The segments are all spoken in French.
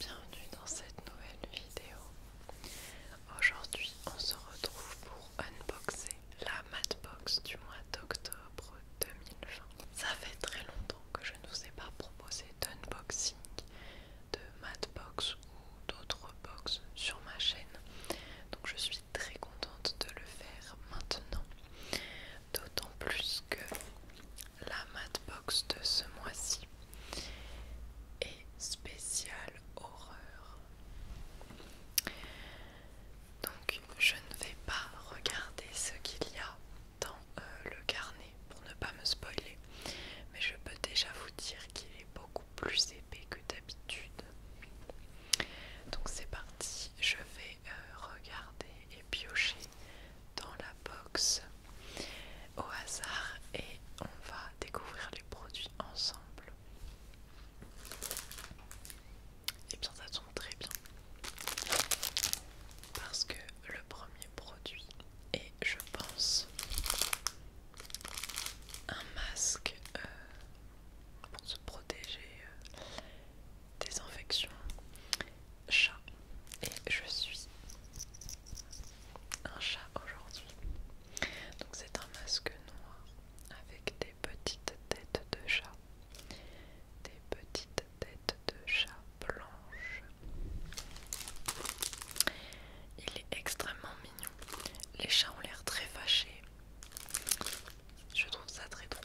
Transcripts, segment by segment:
Bienvenue dans cette nouvelle vidéo. Aujourd'hui, on se retrouve pour unboxer la Madbox du mois d'octobre 2020. Ça fait très longtemps que je ne vous ai pas proposé d'unboxing de Madbox ou d'autres box sur ma chaîne. Donc je suis très contente de le faire maintenant. D'autant plus que la box de ce mois-ci est spéciale horreur. Donc je ne vais pas regarder ce qu'il y a dans euh, le carnet pour ne pas me spoiler, mais je peux déjà vous dire qu'il est beaucoup plus épais que d'habitude. Donc c'est parti, je vais euh, regarder et piocher dans la box au hasard et on va découvrir les produits ensemble. Et bien ça tombe très bien parce que le premier produit est je pense un masque euh, pour se protéger euh, des infections chat et je suis un chat aujourd'hui. Donc c'est un masque noir avec des petites têtes de chat, des petites têtes de chat blanches. Il est extrêmement mignon. Les chats ont l'air très fâchés. Je trouve ça très drôle.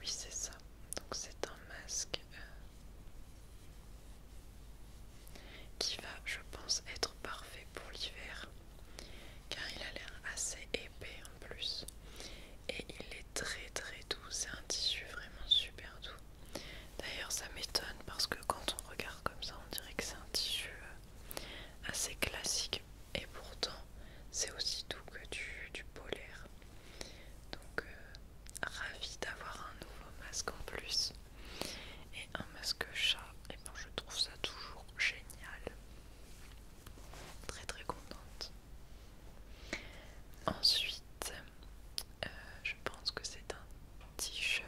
Oui, c'est ça. Donc c'est un masque euh, qui va, je pense, être parfait pour l'hiver. Car il a l'air assez épais en plus. Et il est très très doux. C'est un tissu vraiment super doux. D'ailleurs ça m'étonne parce que quand on regarde comme ça, on dirait que c'est un tissu... Euh, assez classique et pourtant c'est aussi doux que du, polaire. Donc euh, ravi d'avoir un nouveau masque en plus. Et un masque chat, et ben je trouve ça toujours génial. Très très contente. Ensuite, euh, je pense que c'est un t-shirt.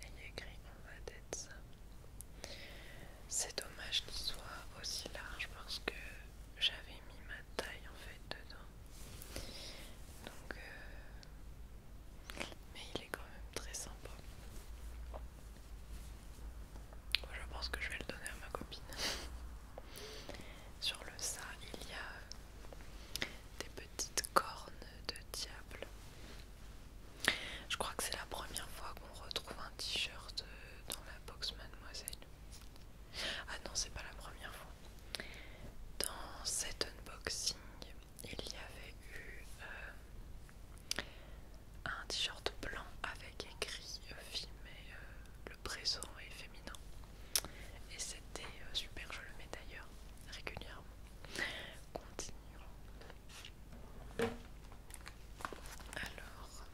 Il a écrit qu'on va d'être ça. C'est dommage qu'il soit aussi large parce que j'avais mis ma taille en fait dedans. Donc euh, mais il est quand même très sympa. Je pense que je vais le donner à ma copine. Sur le ça, il y a euh, des petites cornes de diable. Je crois que c'est la première fois qu'on retrouve un t-shirt euh, dans la box mademoiselle. Ah non, c'est pas la première fois. Dans cet unboxing, il y avait eu euh, un t-shirt blanc avec écrit euh, filmé euh, le présent et féminin. Et c'était super, je le mets d'ailleurs régulièrement. Continuons. Alors,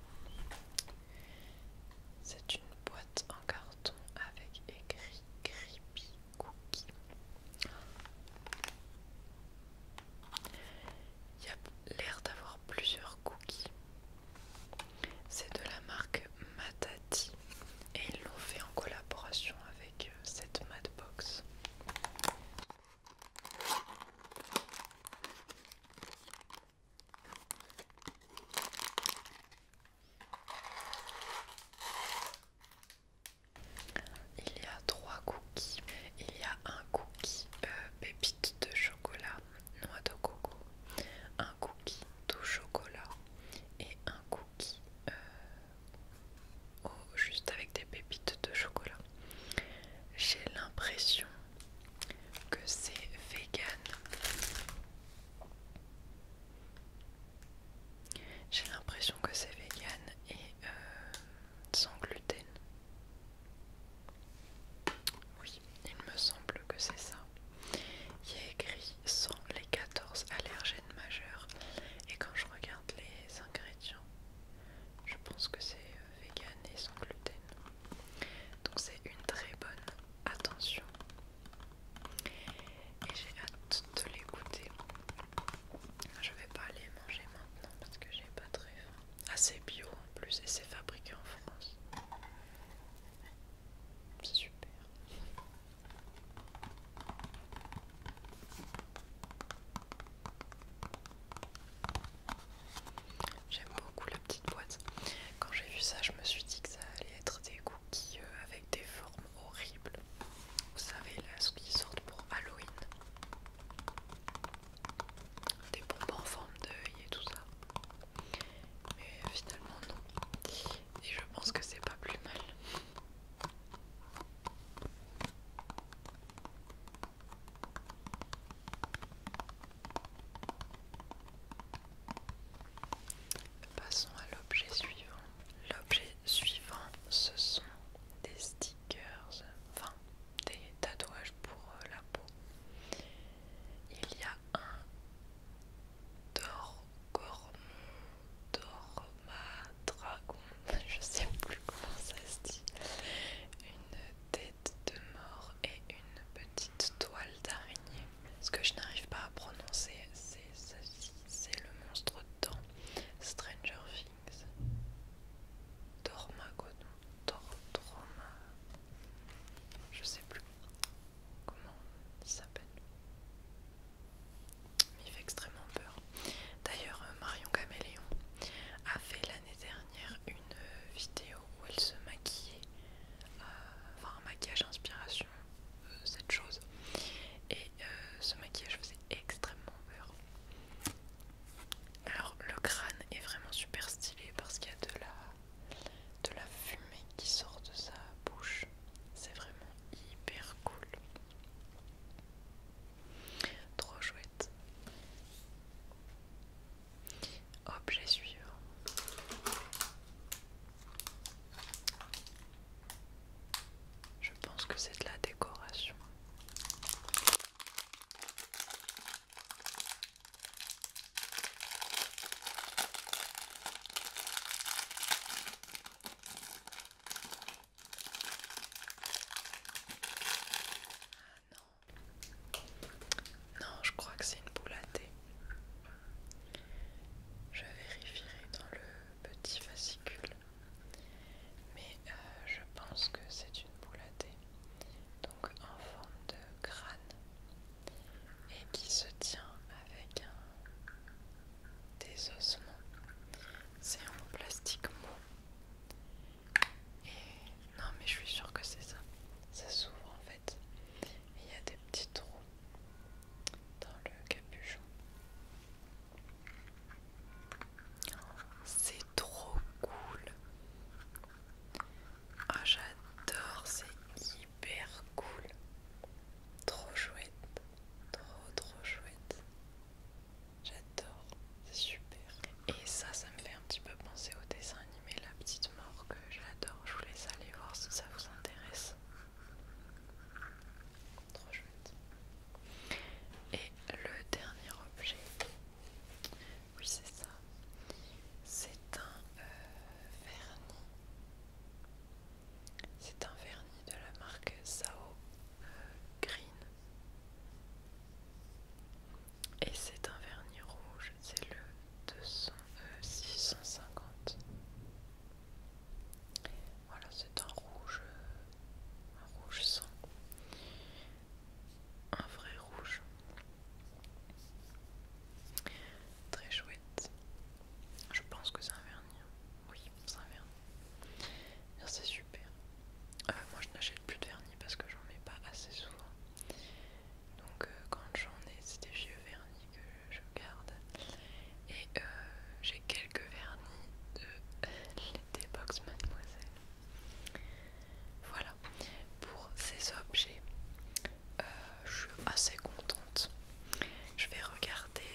c'est une boîte en carton avec écrit creepy il y a l'air d'avoir plusieurs cookies. C'est de la marque Matati et ils l'ont fait en collaboration avec euh, cette Matbox. Il y a trois cookies. Il y a un cookie euh, pépite de chocolat, noix de coco, un cookie tout chocolat et un cookie euh, juste avec des pépites de chocolat. J'ai l'impression que c'est vegan. J'ai l'impression que c'est vegan et euh, sans gluten. Oui, il me semble que c'est ça. Il y a écrit sans les 14 allergènes majeurs. Et quand je regarde les ingrédients, je pense que c'est euh, vegan et sans gluten. Donc c'est une très bonne attention et j'ai hâte de les goûter. Je vais pas les manger maintenant parce que j'ai pas très faim. Ah, c'est bio en plus et c'est fabriqué en France. C'est super. J'aime beaucoup la petite boîte. Quand j'ai vu ça, je me suis dit que ça allait être des cookies euh, avec des horrible. Vous savez, là, ce qui sort pour Halloween. Des bombes en forme d'œil et tout ça. Mais euh, finalement, non. Et je pense que c'est pas plus mal. Passons à l'objet suivant. L'objet Suivant, ce sont des stickers, enfin des tatouages pour euh, la peau. Il y a un Dor Dragon, je sais plus comment ça se dit, une tête de mort et une petite toile d'araignée. Ce que je n'arrive pas à prononcer, c'est ceci. C'est le monstre de temps. Stranger Things. Dormagodon. Dorma. Je sais plus comment il s'appelle. Mais Il fait extrêmement peur. D'ailleurs, euh, Marion Caméléon a fait l'année dernière une euh, vidéo où elle se maquillait, euh, enfin un maquillage inspiration euh, cette chose et euh, ce maquillage faisait extrêmement peur alors le crâne est vraiment super stylé parce qu'il y a de la, de la fumée qui sort de sa bouche c'est vraiment hyper cool trop chouette objet suivant je pense que c'est de la décoration. non. Non, je crois que c'est une boule à thé. Je vérifierai dans le petit fascicule, Mais euh, je pense que c'est une boule à thé, donc en forme de crâne, et qui se tient avec des ossements. C'est en plastique mou. Et non, mais je suis sûre que c'est ça. Ça s'ouvre en fait. Il y a des petits trous dans le capuchon. C'est trop cool. Ah j'adore, c'est hyper cool. Trop chouette. Trop trop chouette. J'adore, c'est super. Et ça, ça me fait un petit peu penser au dessin animé La Petite Mort que j'adore. Je vous laisse aller voir si ça vous intéresse. Et le dernier objet, oui c'est ça, c'est un euh, vernis. C'est un vernis de la marque Sao euh, Green. Et c'est un vernis rouge, c'est le 200, 650. Voilà, c'est un rouge, euh, un rouge sang, un vrai rouge, très chouette. Je pense que c'est un vernis. Hein. Oui, c'est un vernis. C'est super. Euh, moi, je n'achète plus de vernis parce que j'en mets pas assez souvent. Donc, euh, quand j'en ai, c'était vieux vernis que je garde. Et euh, j'ai quelques vernis de l'été box mademoiselle. Voilà, pour ces objets, euh, je suis assez contente. Je vais regarder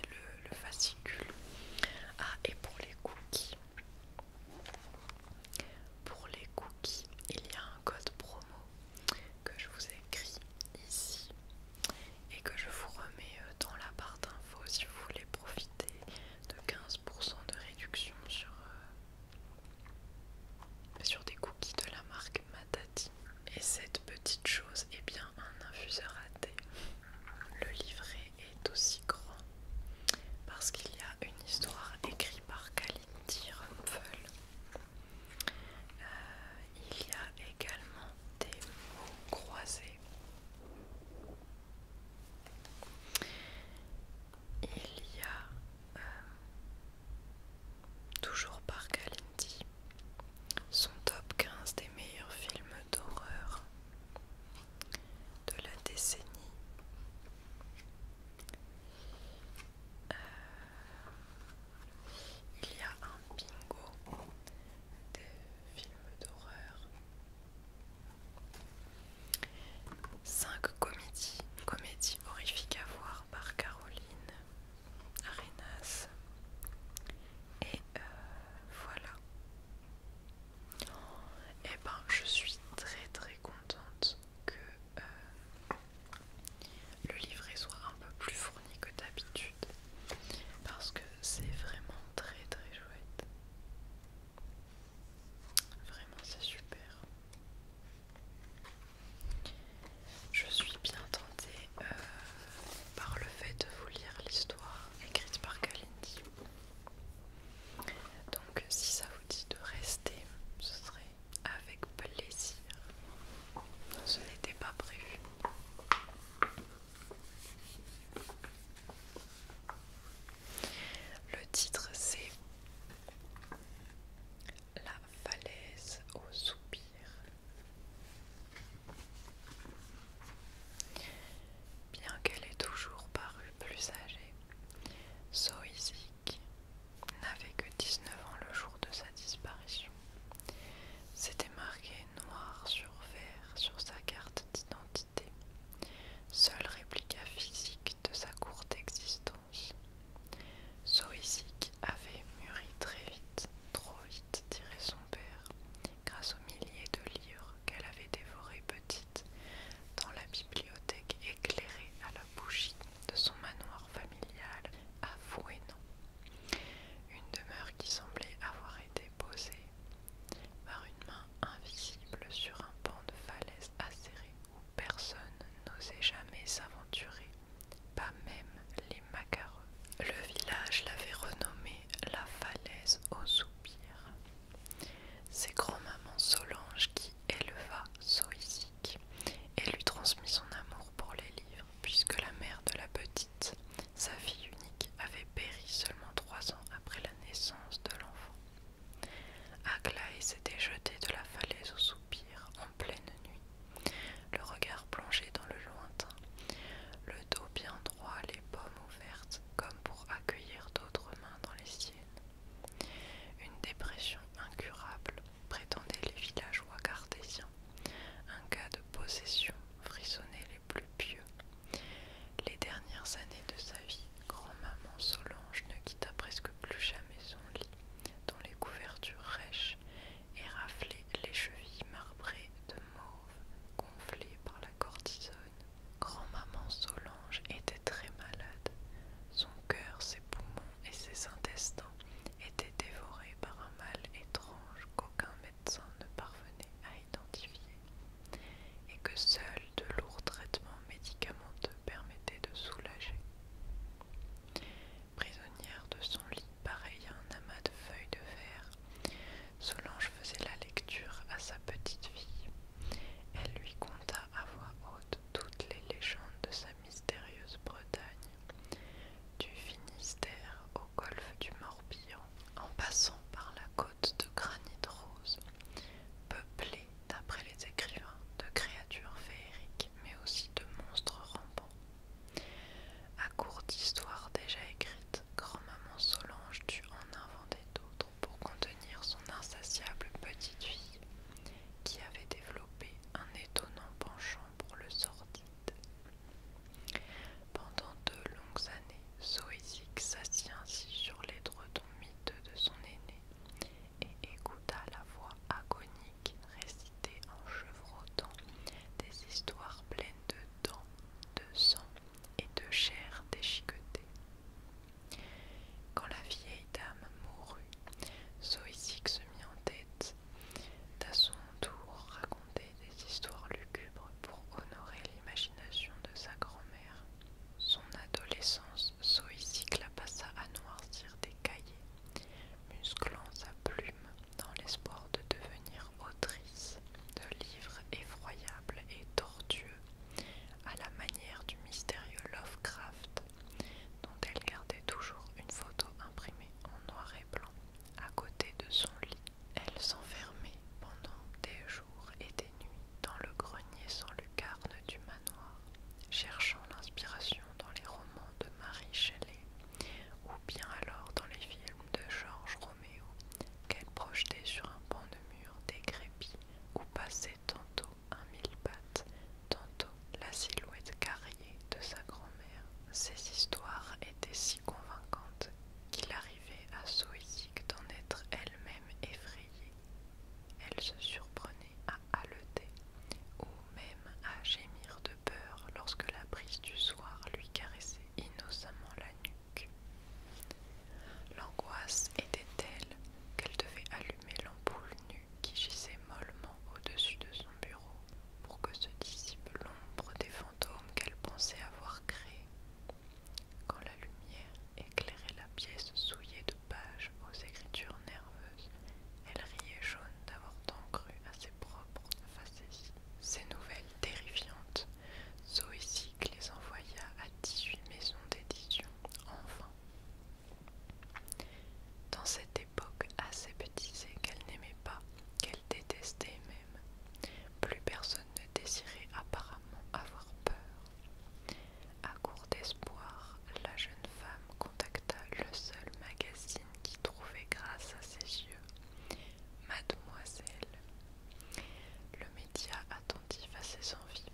le, fascicule. Ah, et pour les cookies. Pour les cookies, il y a un code promo que je vous ai écrit ici et que je vous remets euh, dans la barre d'infos si vous voulez profiter de 15% de réduction sur, euh, sur des cookies de la marque Matati. Et cette petite chose est bien un infuseur à thé. Le livret est aussi grand parce qu'il y a une histoire écrite par Kalin Rumpfel il y a également des mots croisés. Il y a euh, toujours par Galindi son top 15 des meilleurs films d'horreur de la décennie. Euh, il y a un bingo de films d'horreur. 5 comédies, comédies horrifiques à voir par Caroline Arenas. Et euh, voilà. Et eh ben, je suis très très contente que euh, le livret soit un peu plus froid ni que d'habitude parce que c'est vraiment très très chouette. Vraiment c'est super. Je suis bien tentée euh, par le fait de vous lire l'histoire écrite par Kalindi. Donc si ça vous dit de rester, ce serait avec plaisir. Ce n'était pas prévu. Le titre c'est La falaise au soupir. Bien qu'elle ait toujours paru plus âgée, Soizic n'avait que 19 ans le jour de sa disparition. C'était marqué noir sur vert sur sa carte d'identité, seule réplica physique de sa courte existence. Soisic avait mûri très vite, trop vite, dirait son père, grâce aux milliers de livres qu'elle avait dévorés petite dans la bibliothèque éclairée à la bougie de son manoir familial, et Une demeure qui semblait avoir été posée par une main invisible sur un pan de falaise acérée où personne n'osait jamais s'aventurer, pas même les macareux Le village l'avait renommée la falaise aux soupirs. C'est grand-maman Solange qui éleva Soisic et lui transmit son amour pour les livres puisque la mère de la petite, sa fille unique, avait péri seulement trois ans après la naissance de l'enfant. Aglaï s'était jeté de la falaise au soupir en pleine nuit, le regard plongé dans le lointain, le dos bien droit, les paumes ouvertes comme pour accueillir d'autres mains dans les siennes. Une dépression incurable, prétendaient les villageois cartésiens, un cas de possession frissonnait les plus pieux. Les dernières années de sa vie, grand-maman Solange ne quitta presque plus jamais son lit, dont les couvertures rêches et raflées les chevilles marbrées de mauve, gonflées par la cortisone. Grand-maman Solange était très malade. Son cœur, ses poumons et ses intestins était dévoré par un mal étrange qu'aucun médecin ne parvenait à identifier et que seuls de lourds traitements médicamenteux permettaient de soulager. Prisonnière de son lit, pareille à un amas de feuilles de verre, Solange faisait la lecture à sa petite fille. Elle lui conta à voix haute toutes les légendes de sa vie mystérieuse Bretagne, du Finistère au golfe du Morbihan, en passant par la côte de granit rose, peuplée, d'après les écrivains, de créatures féeriques mais aussi de monstres rampants. À court d'histoires déjà écrites, grand-maman Solange dut en inventer d'autres pour contenir son insatiable petite fille, qui avait développé un étonnant penchant pour le sortir. Pendant deux longues années, Zoézic s'assit ainsi sur les dredons miteux de son aîné et écouta la voix agonique réciter en chevrotant des histoires pleines de dents, de sang et de chair déchiquetée. Quand la vieille dame mourut, Zoïsic se mit en tête à son tour raconter des histoires lugubres pour honorer l'imagination de sa grand-mère. Son adolescence, soïcique la passa à noircir des cahiers, musclant sa plume dans l'espoir de devenir autrice de livres effroyables et tortueux à la manière du mystérieux Lovecraft, dont elle gardait toujours une photo imprimée en noir et blanc à côté de son lit. Elle s'enfermait pendant des jours et des nuits dans le grenier sans lucarne du manoir, cherchant l'inspiration dans les romans de Marie Shelley ou bien alors dans les films de Georges Roméo qu'elle projetait sur un pan de mur décrépit où passait tantôt un mille-pattes, tantôt la silhouette carriée de sa grand-mère. Ces histoires étaient si convaincantes qu'il arrivait à Soïsic d'en être elle-même effrayée. Elle se surprenait à haleter ou même à gémir de peur lorsque la brise du soir lui caressait innocemment la nuque. L'angoisse était telle qu'elle devait allumer l'ampoule nue qui gissait mollement au-dessus de son bureau pour que se dissipe l'ombre des fantômes qu'elle pensait avoir créés. Quand la lumière éclairait la pièce souillée de pages aux écritures nerveuses, elle riait jaune d'avoir tant cru à ses propres facéties. Ces nouvelles terrifiantes, Zoésic les envoya à dix-huit maisons d'édition, enfin, dans cette époque assez aseptisée qu'elle n'aimait pas, qu'elle détestait même, plus personne ne désirait apparemment avoir peur. À court d'espoir, la jeune femme contacta le seul magazine qui trouvait grâce à ses yeux, Mademoiselle. Le média, attentif à ses envies,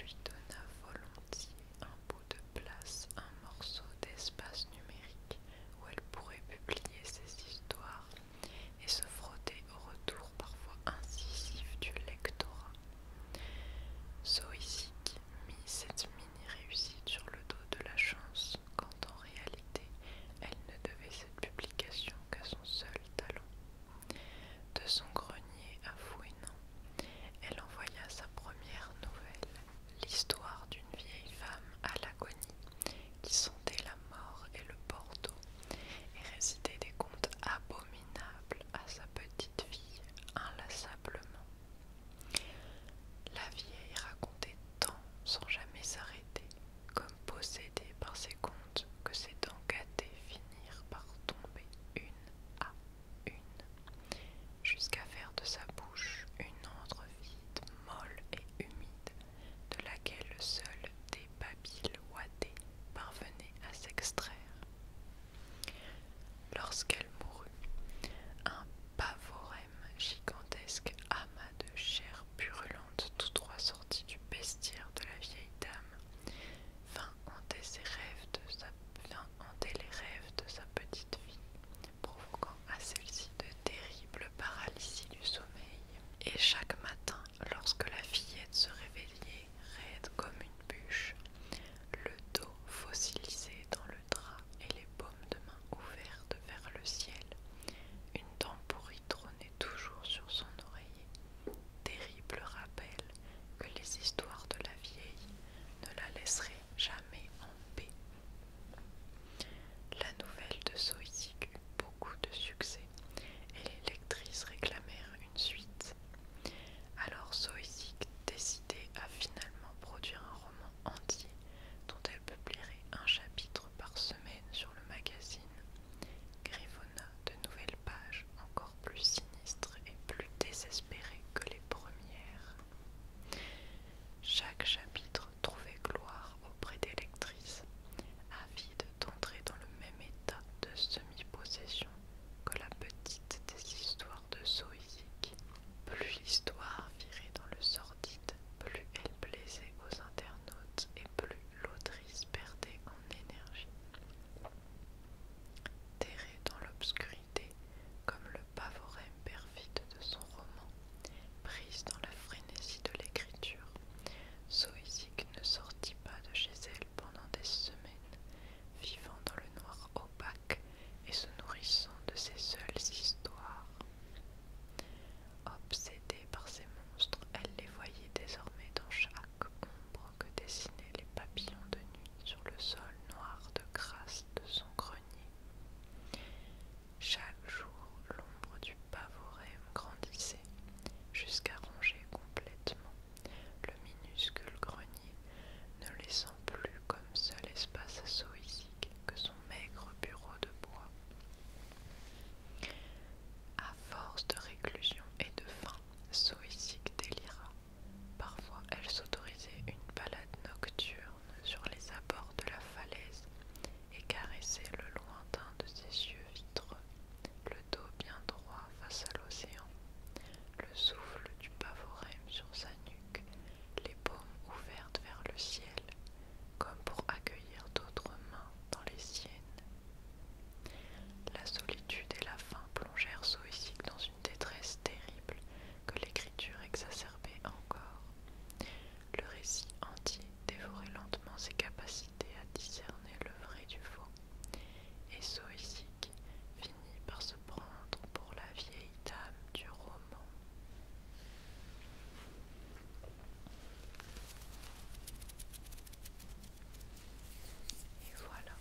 lui donna volontiers de place, un morceau d'espace numérique où elle pourrait publier ses histoires et se frotter au retour parfois incisif du lectorat. Soisic mit cette mini-réussite sur le dos de la chance, quand en réalité elle ne devait cette publication qu'à son seul talent. De son grenier à non, elle envoya sa première nouvelle, l'histoire d'une vieille femme à l'agonie qui sentait la mort et le bordeaux et récitait des contes abominables à sa petite fille inlassablement. La vieille racontait tant sans jamais s'arrêter, comme possédée par ses contes, que ses dents gâtées finirent par tomber une à une, jusqu'à faire de sa bouche une andre vide, molle et humide, de laquelle seul des babiles ouatées parvenaient à s'extraire. Lorsqu'elle mourut, un pavorem gigantesque amas de chair purulente, tous trois sortis du bestiaire de la vieille dame, vint hanter ses rêves de sa vient hanter les rêves de sa petite fille, provoquant à celle-ci de terribles paralysies du sommeil. Et chaque matin, lorsque la fillette se réveillait, raide comme une bûche, le dos fossilisé dans le drap et les paumes de main ouvertes vers le ciel, une dent pourrie trônait toujours sur son oreiller. Terrible rappel que les histoires de la vieille ne la laisseraient jamais en paix. La nouvelle de Soïsig eut beaucoup de succès et les lectrices réclamèrent une suite. Alors Soïsig décidait à finalement produire un roman entier dont elle publierait un chapitre par semaine sur le magazine Grivona de nouvelles pages encore plus sinistres et plus désespérée que les premières. Chaque chapitre trouvait gloire auprès des lectrices, avide d'entrer dans le même état de semi-possession que la petite des histoires de Zoïque. Plus l'histoire virait dans le sordide, plus elle plaisait aux internautes et plus l'autrice perdait en énergie. Terrée dans l'obscurité, comme le pavorème perfide de son roman, prise dans la frénésie de l'écriture. Zoïsic ne sortit pas de chez elle pendant des semaines, vivant dans le noir opaque et se nourrissant de ses seules histoires. Obsédée par ces monstres, elle les voyait désormais dans chaque ombre que dessinaient les papillons de nuit sur le sol noir de crasse de son grenier. Chaque jour, l'ombre du pavorème grandissait jusqu'à ronger complètement le minuscule grenier, ne laissant plus comme seul espace à soïsique que son maigre bureau de bois. À force de réclusion et de faim, Soïsique délira. Parfois, elle s'autorisait une balade nocturne sur les abords de la falaise et caressait le lointain de ses yeux vitreux, le dos bien droit face à l'océan, le souffle du pavorème sur sa nuque, les paumes ouvertes vers le ciel, comme pour accueillir d'autres mains dans les siennes. La solitude et la faim plongèrent suicide dans détresse terrible que l'écriture exacerbait encore. Le récit entier dévorait lentement ses capacités à discerner le vrai du faux, et Soisic finit par se prendre pour la vieille dame du roman. Et voilà.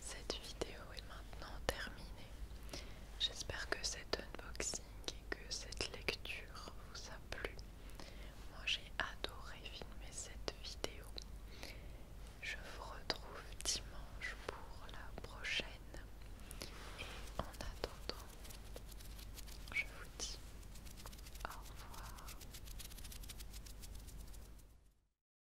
Cette vidéo est maintenant terminée. J'espère que cet unboxing et que cette lecture vous a plu. Moi j'ai adoré filmer cette vidéo. Je vous retrouve dimanche pour la prochaine. Et en attendant, je vous dis au revoir.